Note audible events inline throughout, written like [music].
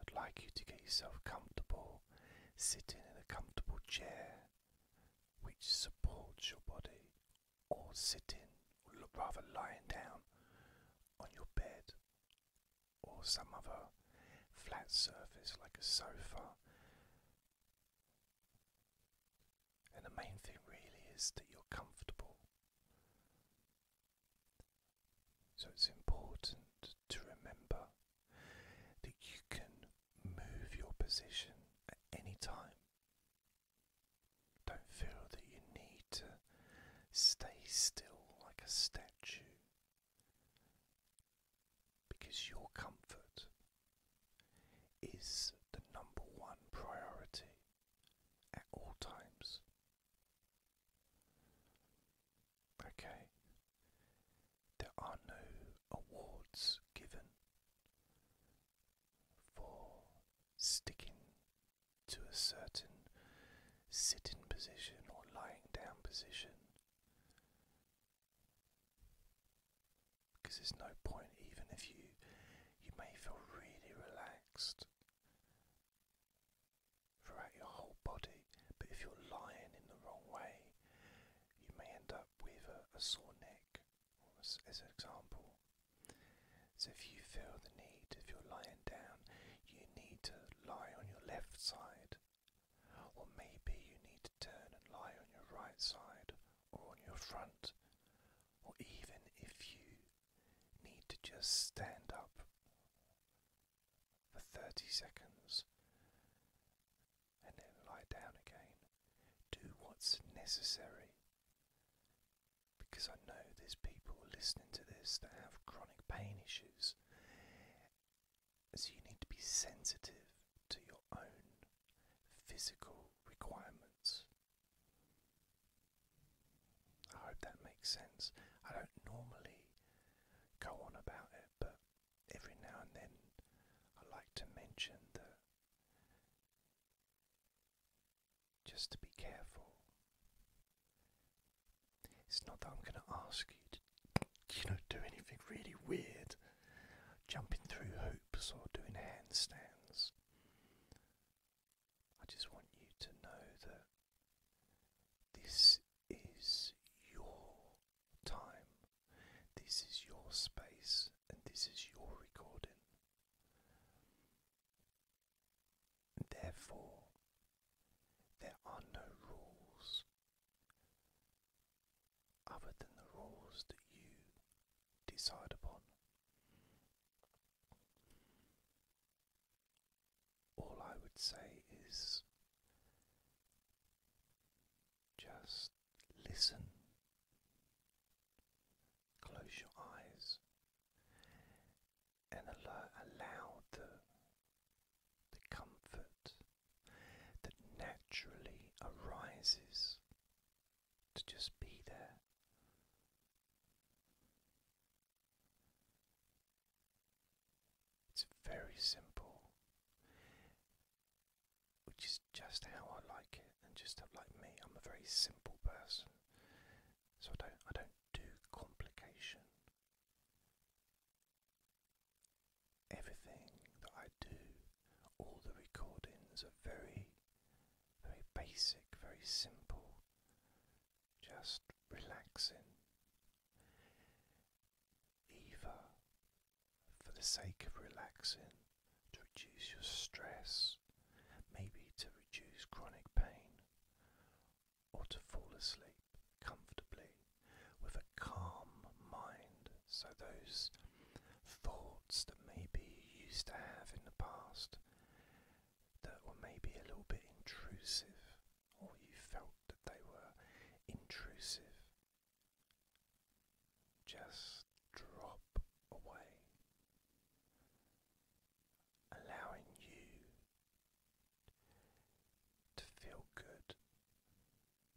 I'd like you to get yourself comfortable, sitting in a comfortable chair which supports your body, or sitting, or rather lying down on your bed or some other flat surface like a sofa. And the main thing really is that you're comfortable. So it's important to remember that you can move your position at any time. Don't feel that you need to stay still like a statue because your comfort is the number one priority at all times. Okay. There are no awards given for sticking to a certain sitting position or lying down position. Because there's no point, even if you you may feel really relaxed throughout your whole body, but if you're lying in the wrong way, you may end up with a, sore neck, as an example. So, if you feel the need, if you're lying down, you need to lie on your left side, or maybe you need to turn and lie on your right side, or on your front, or even if you need to just stand up for 30 seconds and then lie down again. Do what's necessary because I know there's people listening to this that have chronic pain issues. So you need to be sensitive to your own physical requirements. I hope that makes sense. I don't normally go on about it, but every now and then I like to mention that just to be careful. It's not that I'm going to ask you to, you know, do anything really weird, jumping through hoops or doing handstands. I just want you to know that this is your time. This is your space and this is your recording. Therefore, there are no rules other than the rules that you decide upon. All I would say is just listen. Close your eyes and allow, the, the comfort that naturally arises to just be there. It's very simple, which is just how I like it, and just like me, I'm a very simple person, so I don't I don't do complication. Everything that I do, all the recordings are very, very basic, very simple, just relaxing either for the sake of relaxing, to reduce your stress, maybe to reduce chronic pain, or to fall asleep comfortably with a calm mind. So, those thoughts that maybe you used to have in the past that were maybe a little bit intrusive or you felt that they were intrusive, just drop away, allowing you to feel good,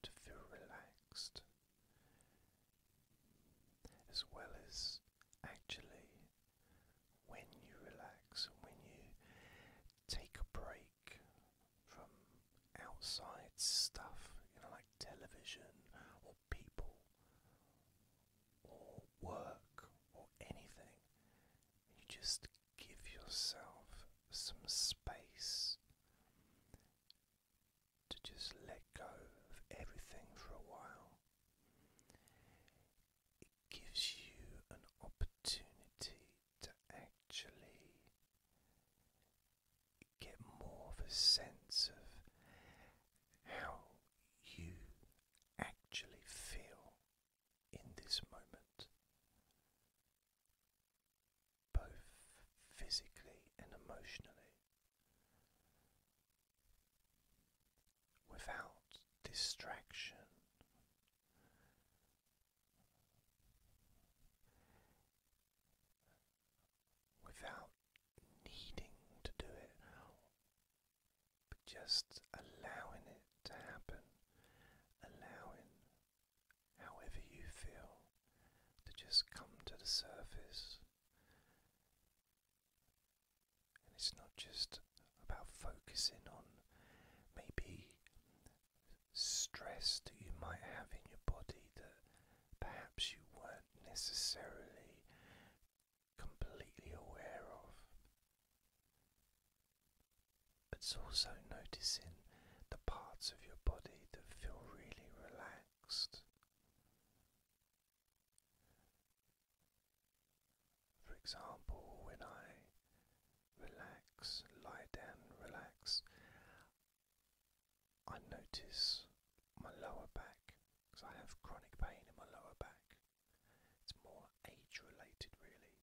to feel relaxed, as well as actually. When you relax and when you take a break break from outside stuff, you know, like television or people or work or anything. You just give yourself some space to just let go of everything for a while. It gives you an opportunity to actually get more of a sense of how you actually feel in this moment, both physically and emotionally. Without distraction, without needing to do it, but just allowing it to happen, allowing however you feel to just come to the surface. And it's not just about focusing on maybe stress that you might have in your body that perhaps you weren't necessarily completely aware of. But it's also noticing the parts of your body that feel really relaxed. For example, when I relax, lie down, relax. I notice my lower back because I have chronic pain in my lower back. It's more age related, really.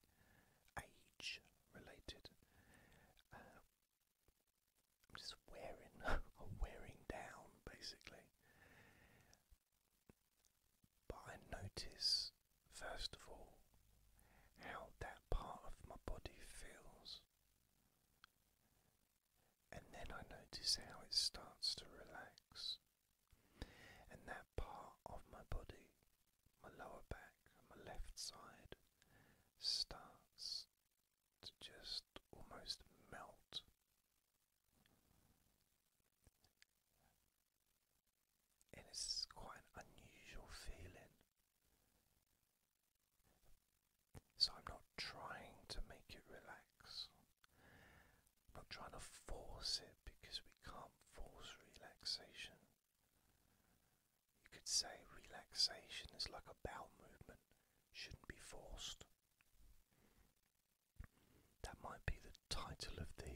Age related. Uh, I'm just wearing, [laughs] wearing down basically. But I notice First of all, how that part of my body feels. And then I notice how it starts to relax. And that part of my body, my lower back and my left side, starts to just almost melt. And it's quite an unusual feeling. So I'm not trying to make it relax. i not trying to force it because we can't force relaxation. You could say relaxation is like a bowel movement, shouldn't be forced. That might be the title of the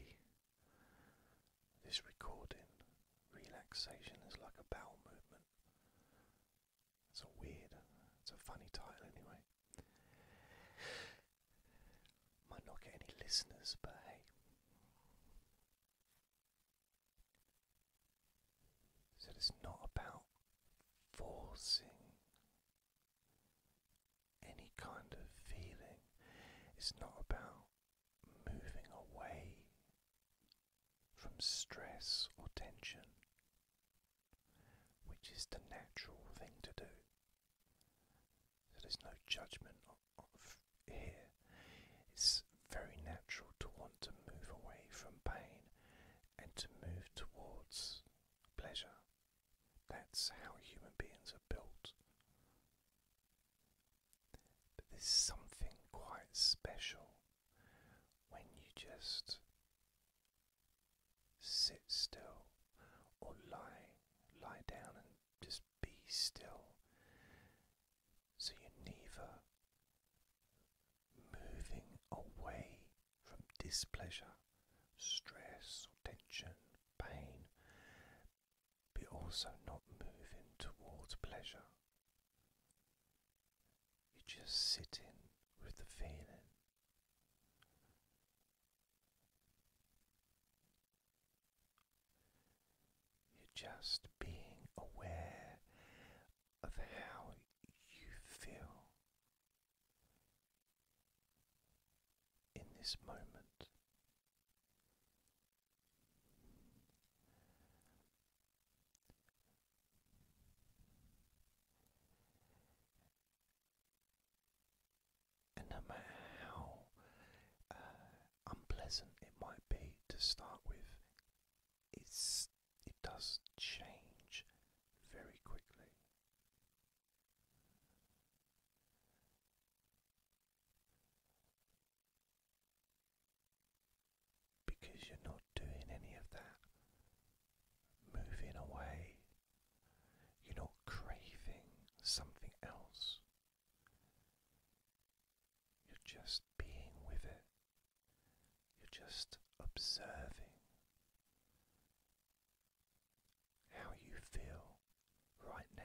this recording relaxation is like a bowel movement. It's a weird, it's a funny title anyway. Might not get any listeners, but hey. So it's not about forcing any kind of feeling. It's not about moving away from stress or tension, which is the natural thing to do. So there's no judgment here. It's very natural to want to move away from pain and to move towards pleasure. That's how human beings are built. But there's something quite special when you just sit still or lie lie down and just be still so you're never moving away from displeasure, stress or tension, pain, be also not moving towards pleasure. You're just sitting with the feeling. You're just being aware of how you feel in this moment. And no matter how uh, unpleasant it might be to start with, it's, it does change very quickly because you're not doing any of that moving away, you're not craving something else, you're just being with it, you're just observing how you feel right now.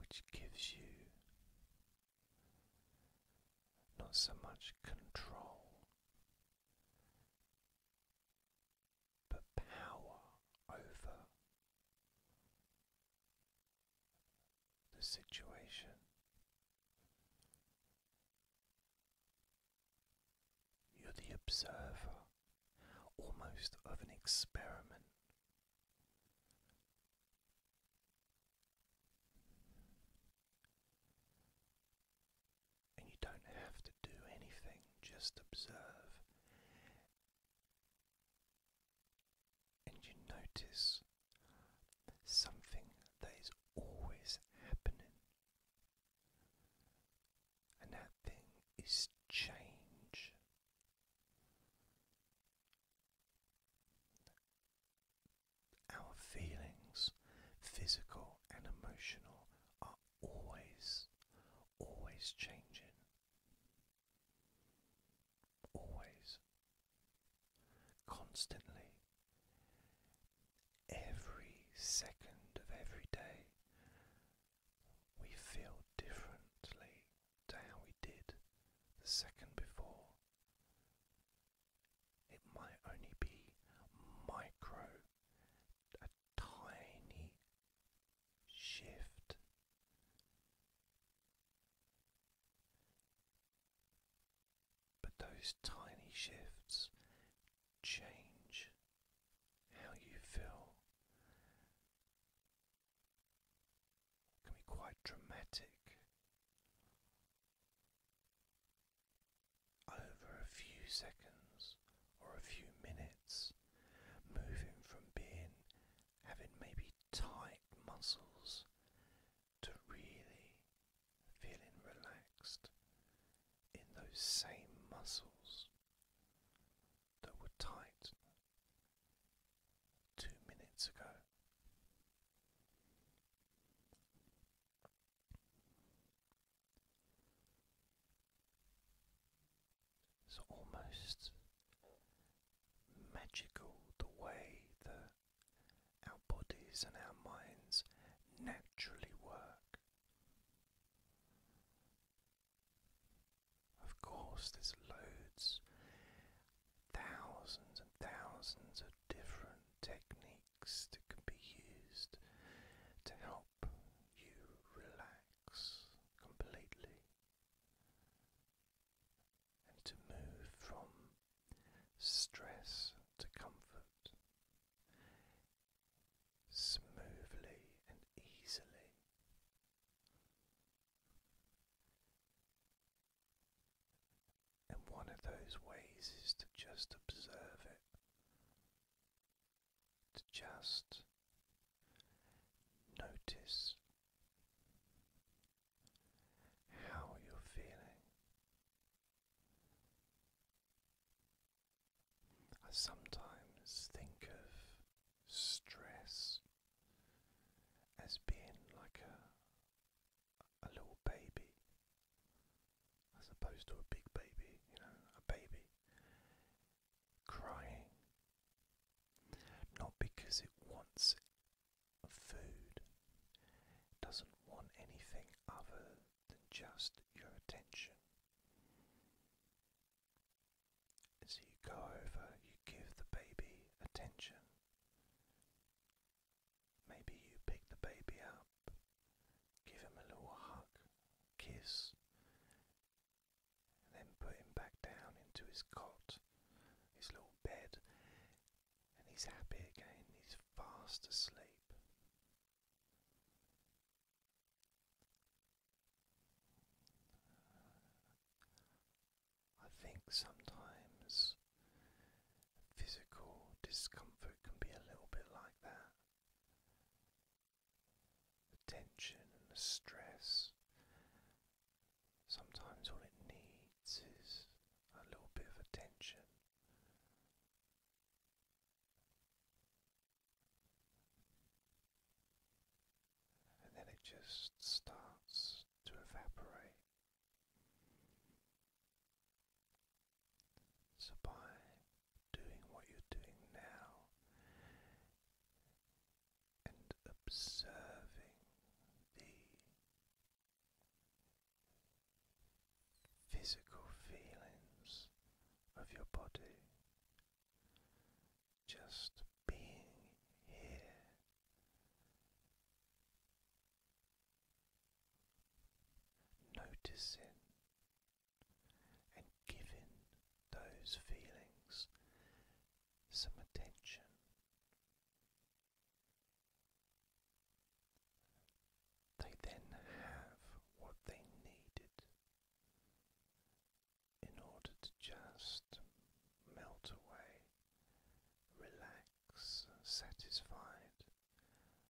Which gives you not so much control but power over the situation. You're the observer, almost of an experiment. And you don't have to do anything, just observe. And you notice something that is always happening, and that thing is change. Our feelings, physical and emotional, are always, always changing. Always constantly, every second of every day, we feel differently to how we did the second before. It might only be micro, a tiny shift. But those tiny shifts change how you feel. can be quite dramatic. Over a few seconds or a few minutes, moving from being having maybe tight muscles to really feeling relaxed in those same muscles that were tight two minutes ago. It's almost magical the way the our bodies and our minds naturally work. Of course, there's loads, thousands and thousands of different techniques that can be used to help you relax completely and to move from stress to comfort smoothly and easily. And one of those ways is to just observe it, to just notice how you're feeling. I sometimes think of stress as being like a, little baby, as opposed to a big baby, you know, a baby crying, not because it wants food doesn't want anything other than just your attention. so you go over, you give the baby attention. Maybe you pick the baby up, give him a little hug, kiss, and then put him back down into his cot, his little bed, and he's happy again, he's fast asleep. I think sometimes physical discomfort can be a little bit like that. The tension and the stress. Sometimes all it needs is a little bit of attention and then it just starts to evaporate. So, by doing what you're doing now and observing the physical feelings of your body, just being here. Noticing and giving those feelings some attention, they then have what they needed in order to just melt away, relax, satisfied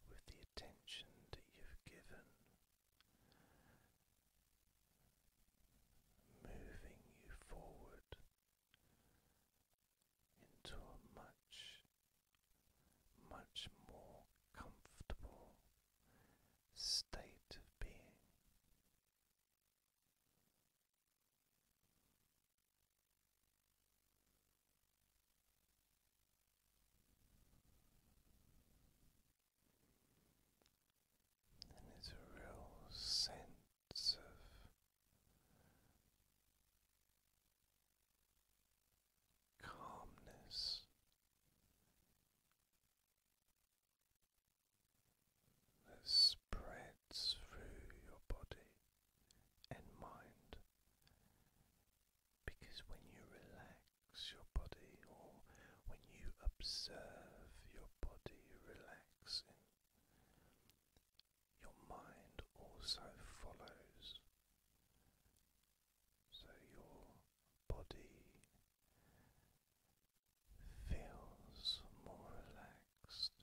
with the attention that you've given. Moving you forward into a much, much more comfortable state of being. And a real sense of calmness. That spreads through your body and mind because when you relax your body, or when you observe your body relaxing, your mind also follows. So your body feels more relaxed.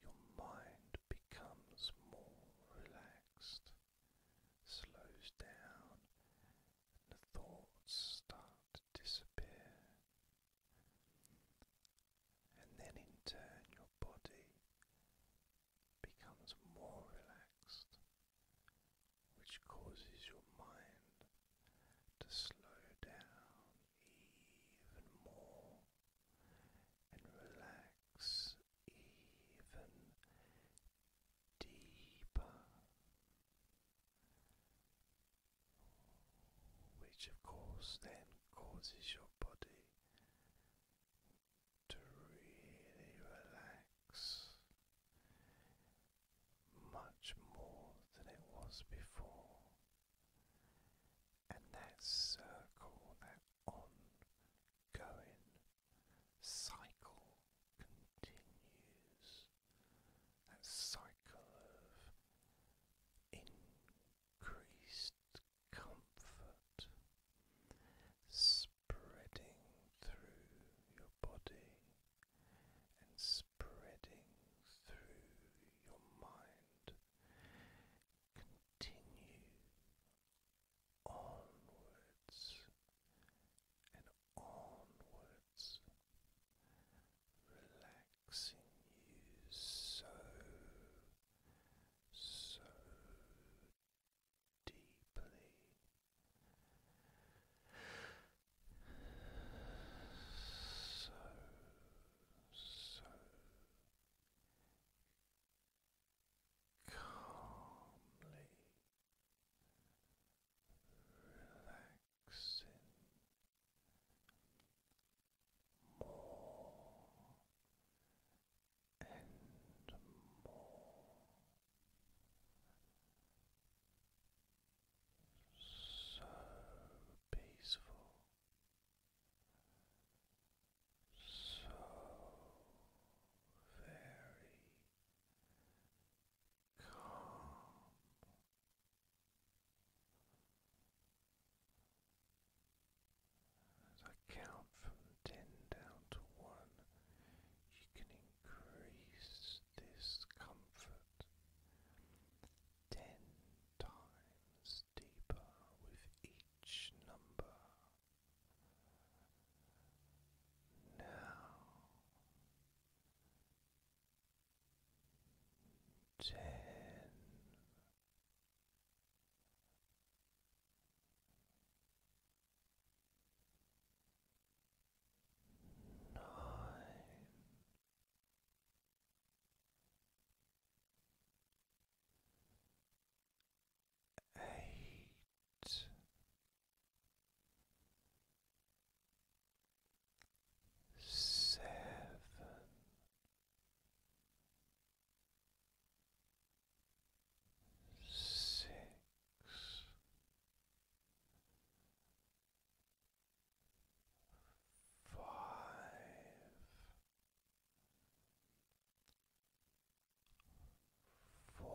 Your mind becomes more relaxed, slows down, and the thoughts start to disappear and then in turn your body becomes more relaxed, which causes your mind to slow down even more and relax even deeper. Which, of course, then causes your body to really relax much more than it was before. And that circle, that ongoing cycle continues. That cycle of increased comfort spreading through your body and spreading through your mind. Continue onwards and onwards, relaxing you so so deeply. So, so calmly relaxing more and more so peaceful so very calm as I count from ten down to one, you can increase this comfort ten times deeper with each number. Now ten. Nine, eight, seven six. Five, four,